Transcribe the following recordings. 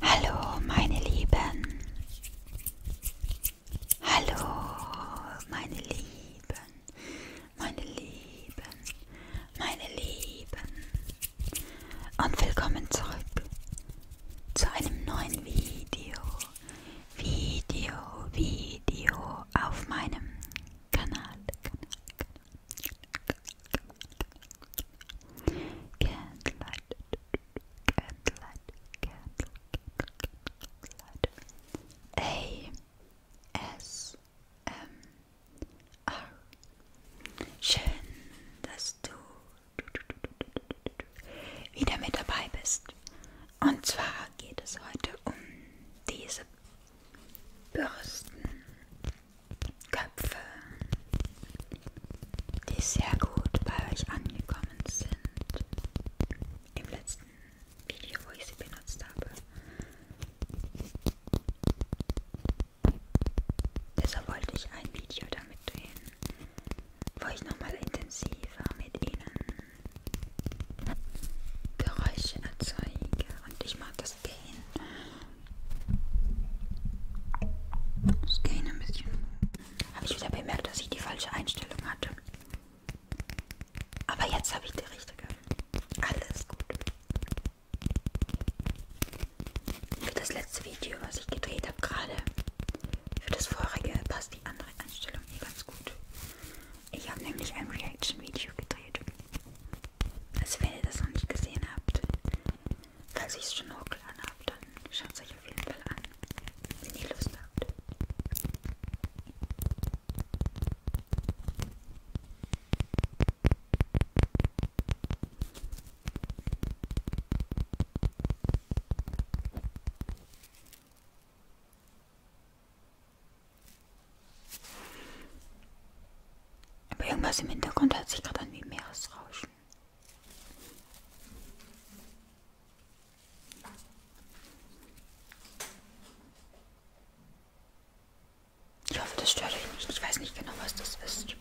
Hallo, meine Lieben. Hallo, meine Lieben. Meine Lieben. Meine Lieben. Und willkommen zurück zu einem neuen Video. Video, Video auf meinem Kanal, Kanal, Kanal, Candlelight, Candlelight, Candlelight, A, S, M, R. Schön, dass du wieder mit dabei bist. Und zwar geht es heute um diese Bürsten, Köpfe, die sehr gut bei euch angekommen sind im letzten Video, wo ich sie benutzt habe. Deshalb wollte ich ein Video damit drehen, wo ich nochmal intensiver mit ihnen Geräusche erzeuge und ich mag das Gehen. Das Gehen ein bisschen. Habe ich wieder bemerkt, dass ich die falsche Einstellung hatte. Aber jetzt habe ich die richtige. Alles gut. Für das letzte Video, was ich gedreht habe gerade, für das vorige passt die andere Einstellung hier ganz gut. Ich habe nämlich ein Reaction-Video gedreht. Also wenn ihr das noch nicht gesehen habt, falls ich es schon hochgeladen habe, dann schaut es euch auf jeden Fall an, wenn ihr Lust habt. Aber irgendwas im Hintergrund hört sich gerade an wie Meeresrauschen. Ich hoffe, das stört euch nicht. Ich weiß nicht genau, was das ist.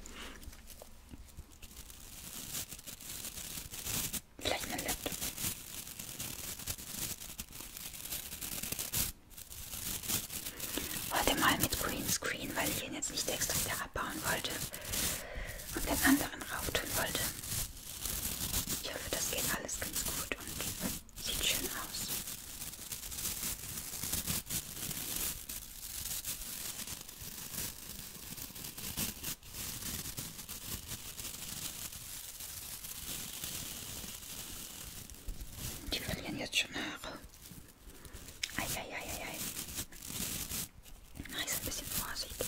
Vielleicht mein Laptop. Heute mal mit Greenscreen, weil ich ihn jetzt nicht extra wieder abbauen wollte und den anderen rauf tun wollte. Ich hoffe, das geht alles ganz gut und sieht schön aus. Die verlieren jetzt schon Haare. Eieieiei. Nice, ein bisschen vorsichtig.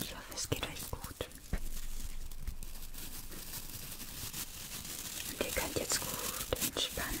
Ich hoffe, es geht euch gut. Und ihr könnt jetzt gut entspannen.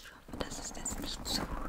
Ich hoffe, das ist jetzt nicht zu starr.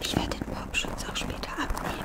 Ich werde den Popschutz auch später abnehmen.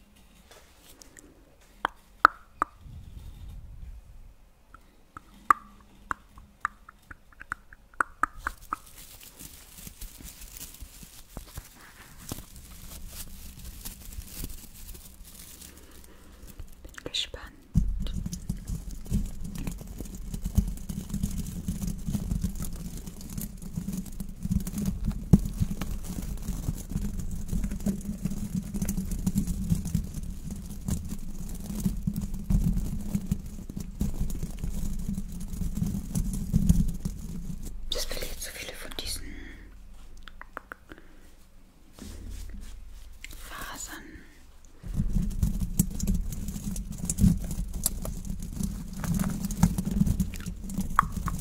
Bin gespannt. Das will jetzt so viele von diesen Fasern.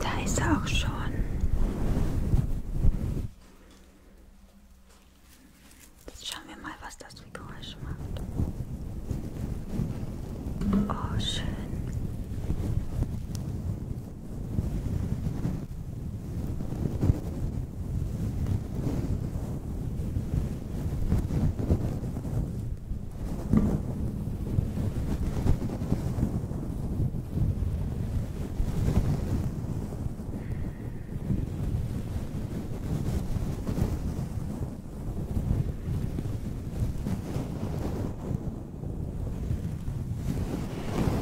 Da ist er auch schon. Jetzt schauen wir mal, was das für Geräusche macht. Oh, schön.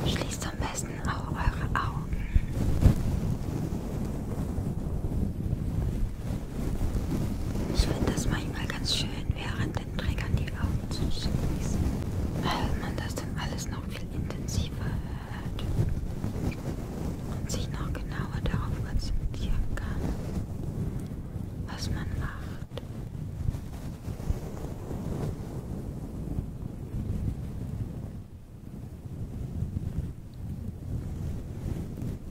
Schließt am besten auch eure Augen. Ich finde das manchmal ganz schön, während den Trägern die Augen zu schließen, weil man das dann alles noch viel intensiver hört und sich noch genauer darauf konzentrieren kann, was man macht.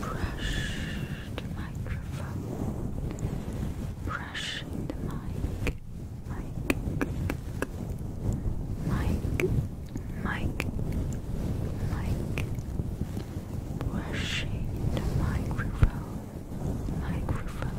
brush the microphone, brush the mic, mic, mic, mic, mic, brushing the microphone, the microphone,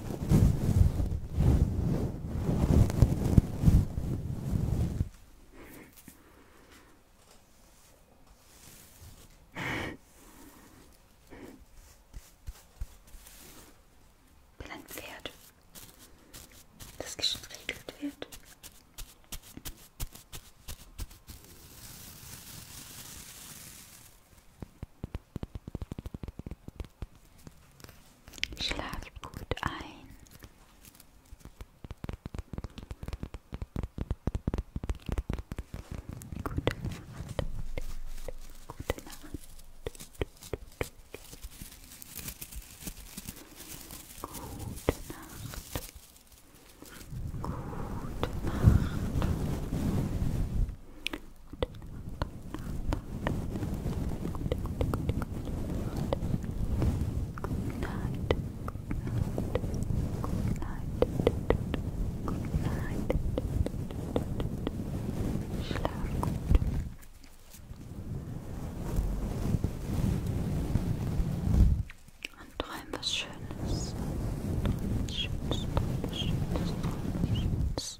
bin ein Pferd, das gestriegelt wird. Schlaft gut ein. Gute Nacht. Gute Nacht. Gute Nacht. Gute Nacht. Und träum was Schönes. Träum was Schönes, träum was Schönes, träum was Schönes.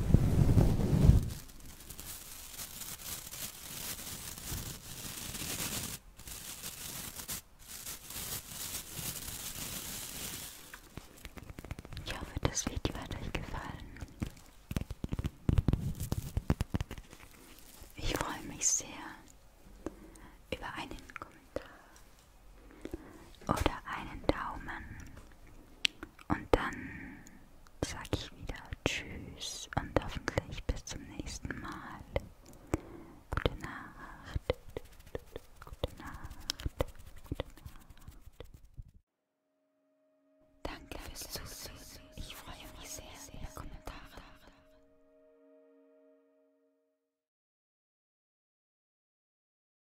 Ich hoffe, das Video hat euch gefallen. Ich freue mich sehr über einen Kommentar oder einen Daumen und dann sage ich wieder Tschüss und hoffentlich bis zum nächsten Mal. Gute Nacht. Gute Nacht. Gute Nacht. Danke fürs Zusehen. Ich freue mich sehr über Kommentare.